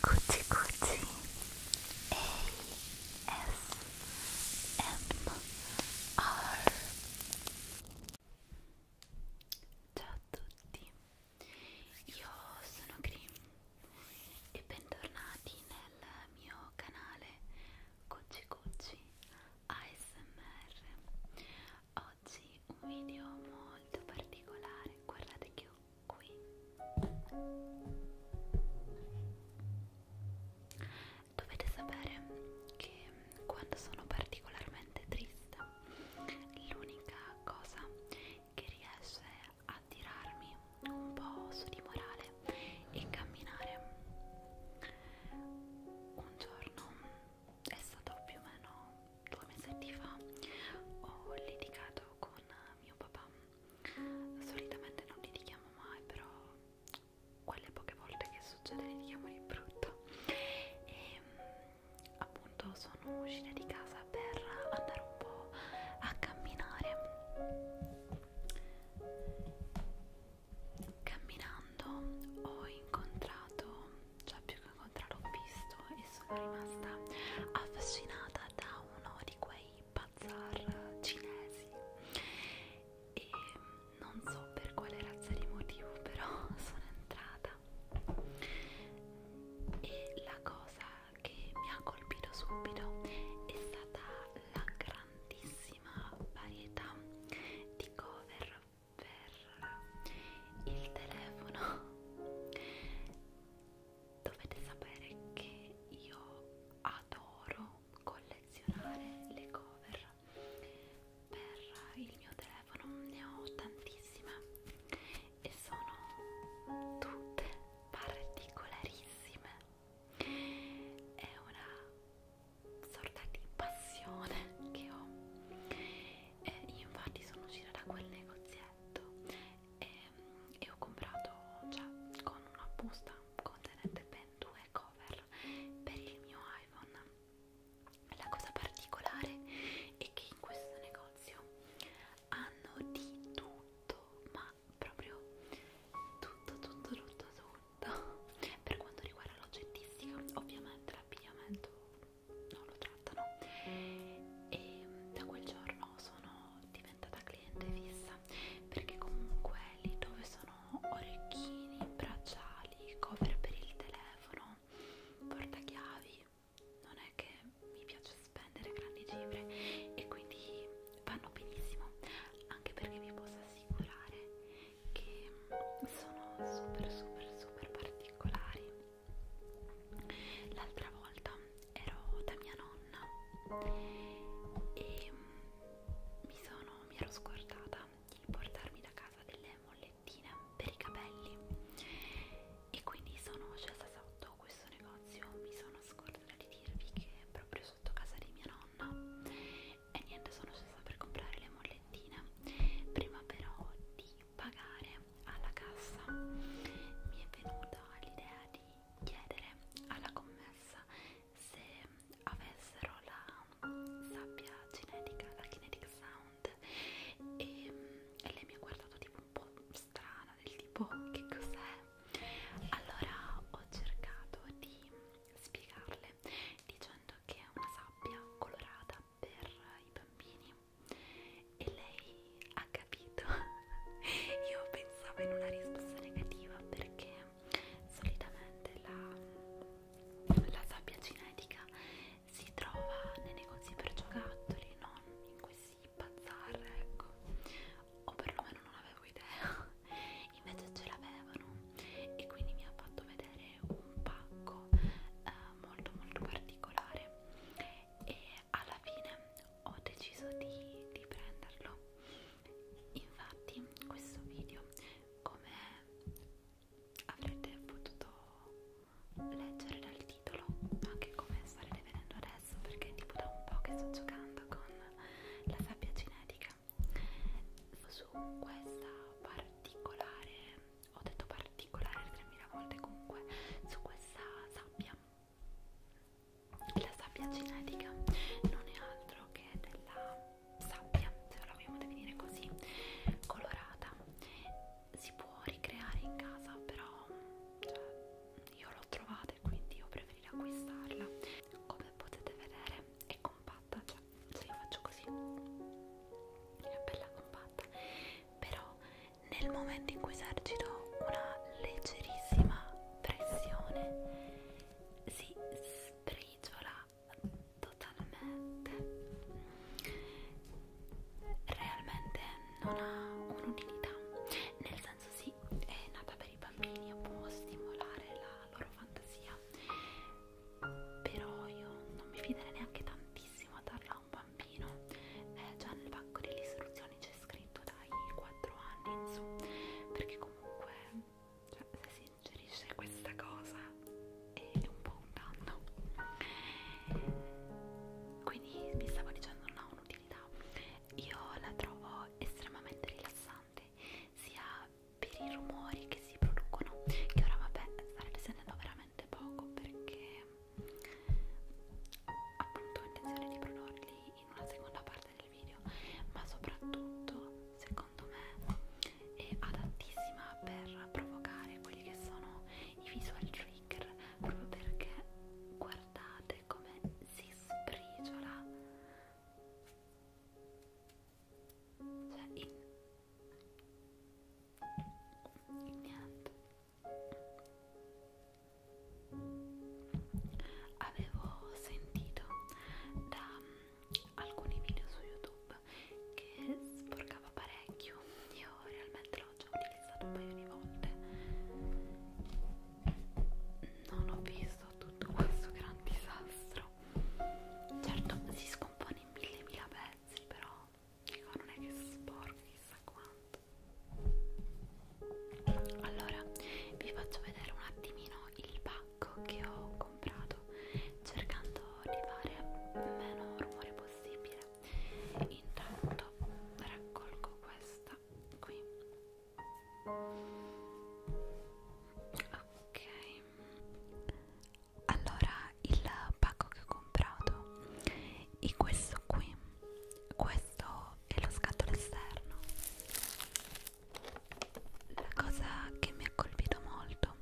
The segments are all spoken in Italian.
Cucci Cucci ASMR Ciao a tutti, io sono Cream e bentornati nel mio canale Cucci Cucci ASMR oggi un video molto particolare, guardate che ho qui dovete sapere che quando sono particolarmente triste l'unica cosa che riesce a tirarmi un po' su di morale è camminare un giorno è stato più o meno due mesetti fa ho litigato con mio papà solitamente non litighiamo mai però quelle poche volte che succede litighiamo di brutto e ehm, appunto sono uscita di casa per andare un po' a camminare camminando ho incontrato, cioè più che avevo traloppisto e sono rimasta affascinata da uno di quei bazar cinesi e non so per quale razza di motivo però sono entrata e la cosa che mi ha colpito subito è stata la grandissima varietà di cover per il telefono dovete sapere che io adoro collezionare le cover per il mio telefono ne ho tantissime e sono tutte particolarissime è una sorta di passione che ho e io infatti sono uscita da quel negozietto e, e ho comprato cioè con una busta contenente ben due cover per il mio iPhone la cosa particolare è che in questo negozio hanno di tutto ma proprio tutto tutto tutto tutto per quanto riguarda l'oggettistica ovviamente l'abbigliamento non lo trattano e da quel giorno sono diventata cliente fissa perché comunque lì dove sono orecchini, bracciali, cover per il telefono, portachiavi non è che mi piace spendere grandi cifre e quindi vanno benissimo anche perché vi posso assicurare che sono super super super particolari L'altra volta ero da mia nonna e mi, sono, mi ero scordata di portarmi da casa delle mollettine per i capelli e quindi sono scesa sotto questo negozio, mi sono scordata di dirvi che proprio sotto casa di mia nonna e niente sono scesa per comprare le mollettine prima però di di pagare alla cassa mi è venuta l'idea di chiedere alla commessa se avessero la sabbia genetica, la kinetic sound e, e lei mi ha guardato tipo un po' strana del tipo che cos'è allora ho cercato di spiegarle dicendo che è una sabbia colorata per i bambini e lei ha capito io pensavo in una risposta negativa perché solitamente la, la sabbia cinetica si trova nei negozi per giocattoli non in questi bazar ecco o perlomeno non avevo idea invece ce l'avevano e quindi mi ha fatto vedere un pacco eh, molto molto particolare e alla fine ho deciso di, di prenderlo infatti questo video come avrete potuto leggere dal titolo anche come starete vedendo adesso perché è tipo da un po' che sto giocando con la sabbia cinetica su questa particolare ho detto particolare 3000 volte comunque su questa sabbia la sabbia cinetica non è altro che della sabbia se la vogliamo definire così colorata si può ricreare in casa però cioè, io l'ho trovata e quindi io preferirei acquistarla come potete vedere è compatta cioè se io faccio così è bella compatta però nel momento in cui esercito una leggerissima pressione si sbriciola totalmente realmente non ha un'utilità nel senso sì è nata per i bambini e può stimolare la loro fantasia però io non mi fiderei neanche tantissimo a darla a un bambino bambino eh, già nel pacco delle istruzioni c'è scritto dai 4 anni in su perché comunque cioè, se si ingerisce questa cosa è un po' un danno quindi mi stavo dicendo non ha un'utilità io la trovo estremamente rilassante sia per i rumori che si producono che ora vabbè starete sentendo veramente veramente poco perché appunto ho intenzione di produrli in una seconda parte del video ma soprattutto secondo me è adattissima per provocare quelli che sono i visual trigger proprio perché guardate come si sprigiola cioè in niente avevo sentito da mm, alcuni video su YouTube che sporcava parecchio. Io realmente l'ho già utilizzato un paio di volte. Non ho visto tutto questo gran disastro. Certo, si scompone in mille mila pezzi, però dico non è che sporco chissà quanto allora vi faccio vedere un attimino il pacco che ho comprato cercando di fare meno rumore possibile intanto raccolgo questa qui ok allora il pacco che ho comprato e questo qui questo è lo scatolo esterno la cosa che mi ha colpito molto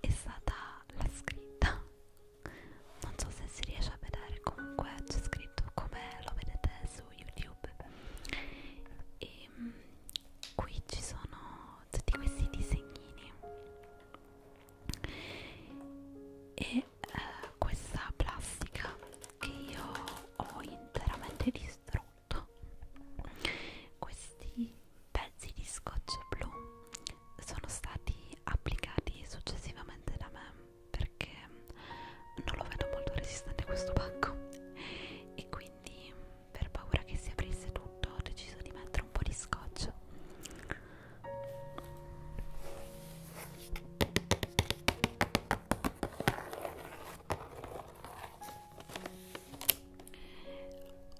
è stata la scritta non so se si riesce a vedere comunque c'è scritto come lo vedete su youtube e ehm, qui ci sono tutti questi disegnini e eh, questa plastica che io ho interamente distrutto questi pezzi di scotch blu sono stati applicati successivamente da me perché non lo vedo molto resistente questo pacco e quindi per paura che si aprisse tutto ho deciso di mettere un po' di scotch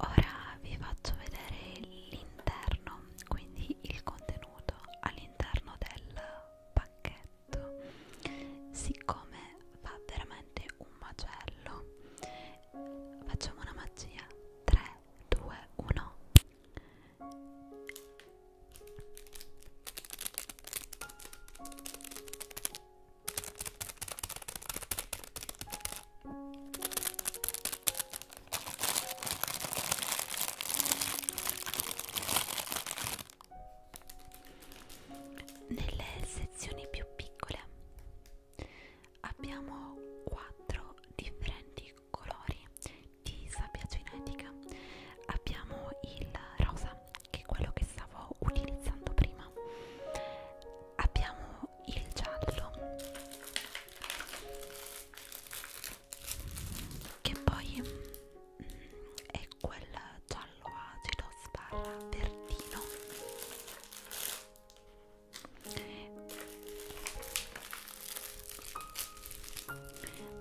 Ora vi faccio vedere l'interno, quindi il contenuto all'interno del pacchetto. Siccome fa veramente un macello, facciamo una magia 3, 2, 1. Nelle sezioni più piccole abbiamo quattro differenti colori di sabbia genetica abbiamo il rosa che è quello che stavo utilizzando prima abbiamo il giallo che poi mm, è quel giallo acido sbarra verdino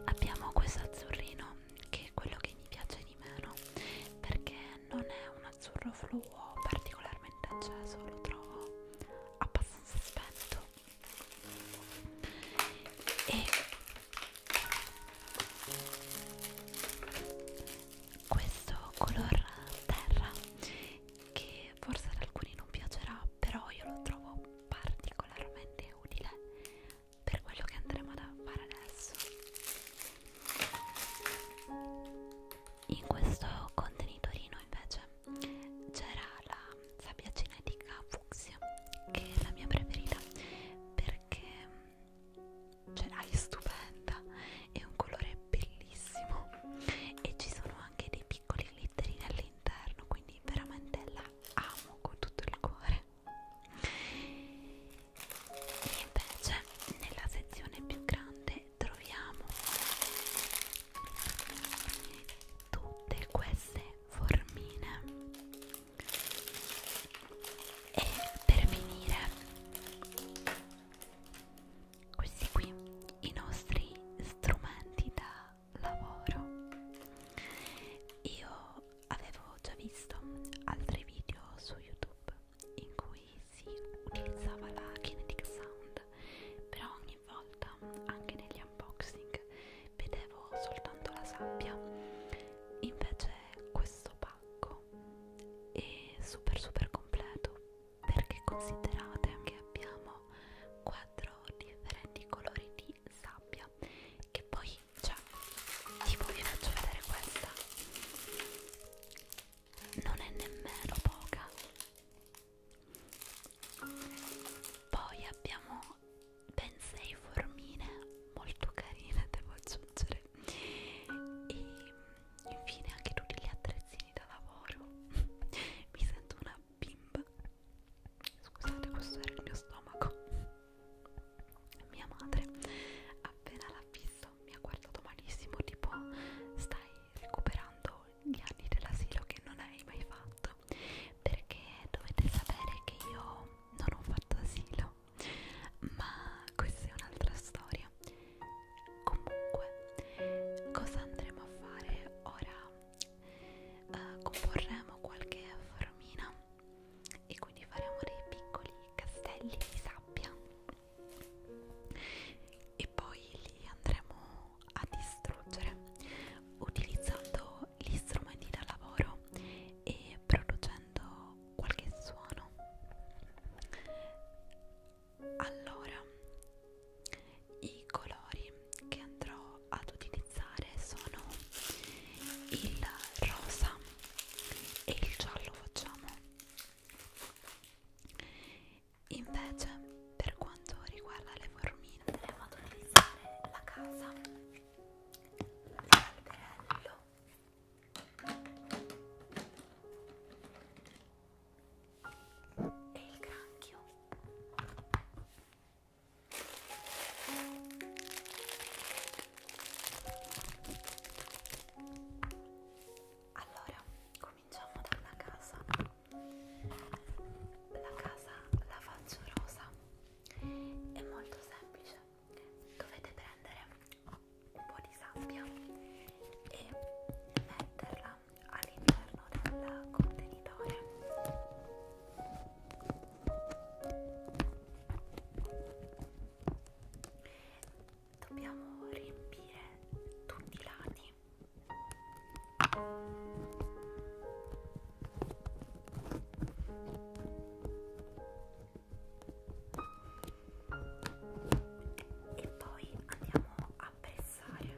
abbiamo questo azzurrino che è quello che mi piace di meno perché non è un azzurro fluo particolarmente acceso lo trovo abbastanza spento e questo color terra che forse ad alcuni non piacerà però io lo trovo particolarmente utile per quello che andremo a fare adesso. In questo contenitorino invece c'era la sabbia cinetica fucsia che è la mia preferita perché ce cioè, l'hai ah, stupenda, è un colore bellissimo e ci sono anche dei piccoli glitterini all'interno quindi veramente la amo con tutto il cuore e invece nella sezione più grande troviamo tutte queste formine e per finire questi qui i nostri strumenti da lavoro io avevo già visto altri video su youtube in cui si utilizzava la kinetic sound però ogni volta anche negli unboxing vedevo soltanto la sabbia invece questo pacco è super super completo perché considerate che abbiamo quattro differenti colori di di sabbia che poi cioè tipo vi faccio vedere questa non è nemmeno poca poi abbiamo ben sei formine molto carine devo aggiungere e infine anche tutti gli attrezzini da lavoro mi sento una bimba scusate questo era il mio stomaco mia madre appena l'ha visto mi ha guardato malissimo tipo stai recuperando gli anni dell'asilo che non hai mai fatto perché dovete sapere che io non ho fatto asilo ma questa è un'altra storia comunque cosa andremo a fare ora eh, comporremo qualche formina e quindi faremo dei piccoli castelli di sabbia e poi li andremo a distruggere utilizzando gli strumenti da lavoro e producendo qualche suono allora i colori che andrò ad utilizzare sono il rosa e il giallo facciamo invece per quanto riguarda le formine andremo ad utilizzare la casa l'alberello e il granchio allora, cominciamo dalla casa. La casa la faccio rosa. È molto semplice. Dovete prendere un po' di sabbia e metterla all'interno del contenitore dobbiamo riempire tutti i lati e poi andiamo a pressare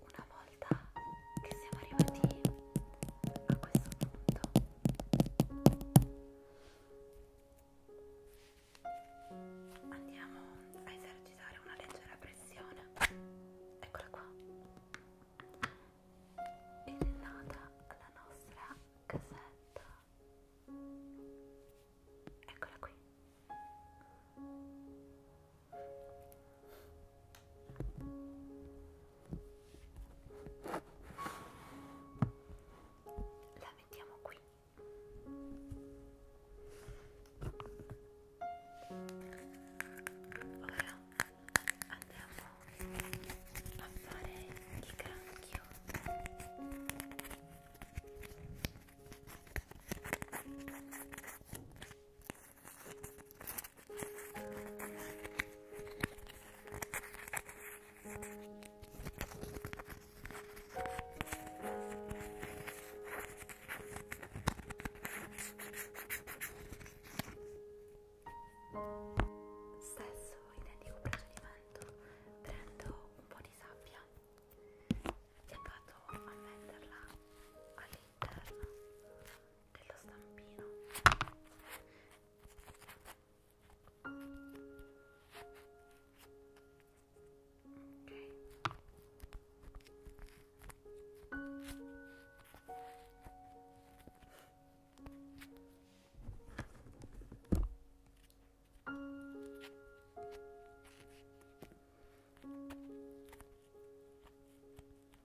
una volta che siamo arrivati a questo punto andiamo a esercitare una leggera pressione eccola qua ed è nata la nostra casetta eccola qui la mettiamo qui. Ora andiamo a fare il granchio. Stesso identico procedimento, prendo un po' di sabbia e vado a metterla all'interno dello stampino ok ok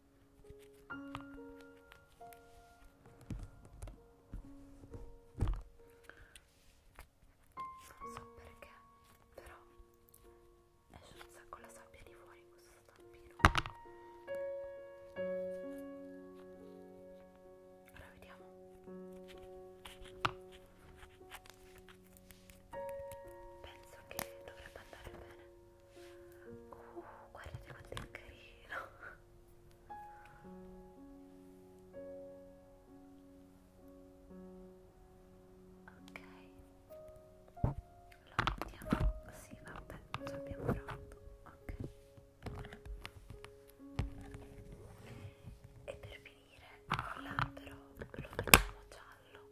non so perché però esce un sacco la sabbia di fuori in questo stampino ora vediamo penso che dovrebbe andare bene Uh, guardate quanto è carino. Ok. Lo mettiamo. Sì, vabbè, ci abbiamo pronto. Ok. E per finire, il labbro lo mettiamo giallo.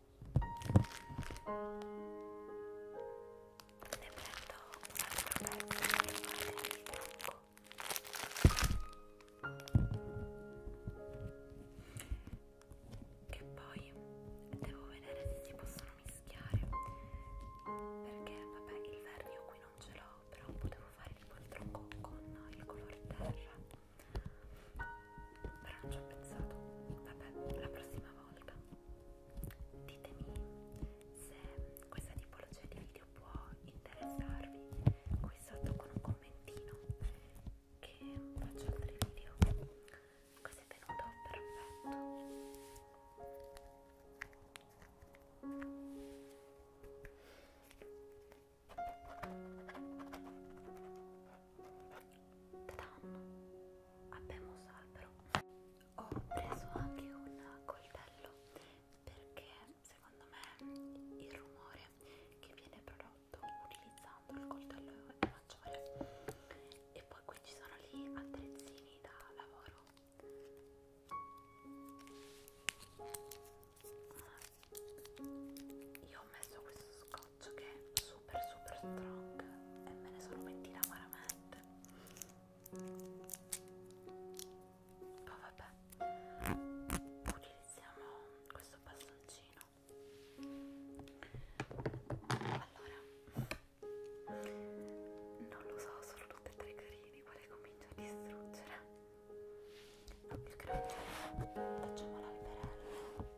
ne prendo un'altra pezza che vale di trucco che poi devo vedere se si possono mischiare perché vabbè il verde io qui non ce l'ho però potevo fare tipo il trucco con il colore terra però non ci ho pensato vabbè la prossima volta ditemi se questa tipologia di video può interessarvi qui sotto con un commentino che faccio altri video così è venuto perfetto abbiamo un albero ho preso anche un coltello perché secondo me il rumore che viene prodotto utilizzando il coltello è maggiore e poi qui ci sono gli attrezzini da lavoro ah, io ho messo questo scopo scotch che è super super strong e me ne sono pentita amaramente poi vabbè utilizziamo questo bastoncino allora non lo so sono tutti e tre carini quale comincio a distruggere il crocchio facciamo la liberella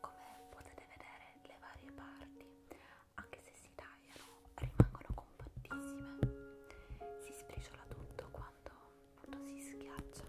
come potete vedere le varie parti anche se si tagliano rimangono compattissime si sbriciola tutto quando lo si schiaccia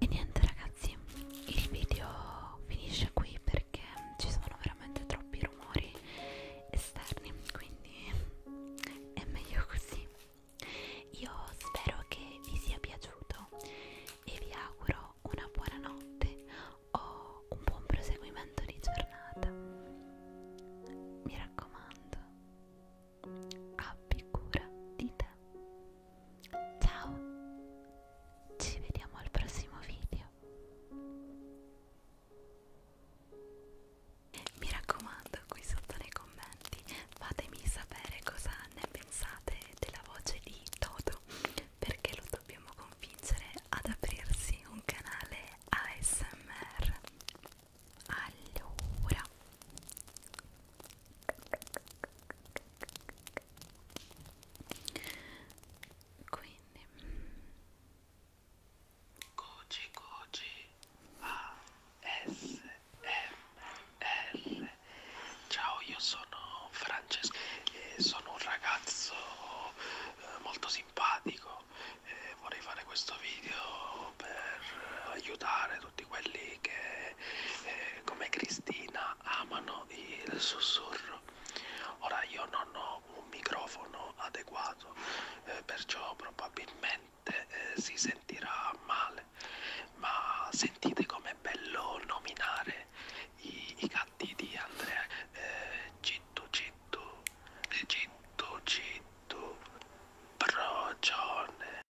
e niente ragazzi il video finisce qui perché ci sono veramente troppi rumori esterni quindi è meglio così io spero che vi sia piaciuto e vi auguro una buona notte o un buon proseguimento di giornata mi raccomando abbi cura di te. Ciao, ci vediamo al prossimo video. Mi raccomando, qui sotto nei commenti fatemi sapere cosa ne pensate della voce di Toto, perché lo dobbiamo convincere ad aprirsi un canale ASMR. Allora, quindi Coci Coci ASMR Ciao io sono Francesco e eh, sono un ragazzo eh, molto simpatico e eh, vorrei fare questo video per aiutare tutti quelli che eh, come Cristina amano il sussurro. Ora io non ho un microfono adeguato, eh, perciò probabilmente eh, si sentirà male, ma sentite com'è bello nominare i, i gatti di Andrea. Eh, Citto, citto, citto, citto, procione.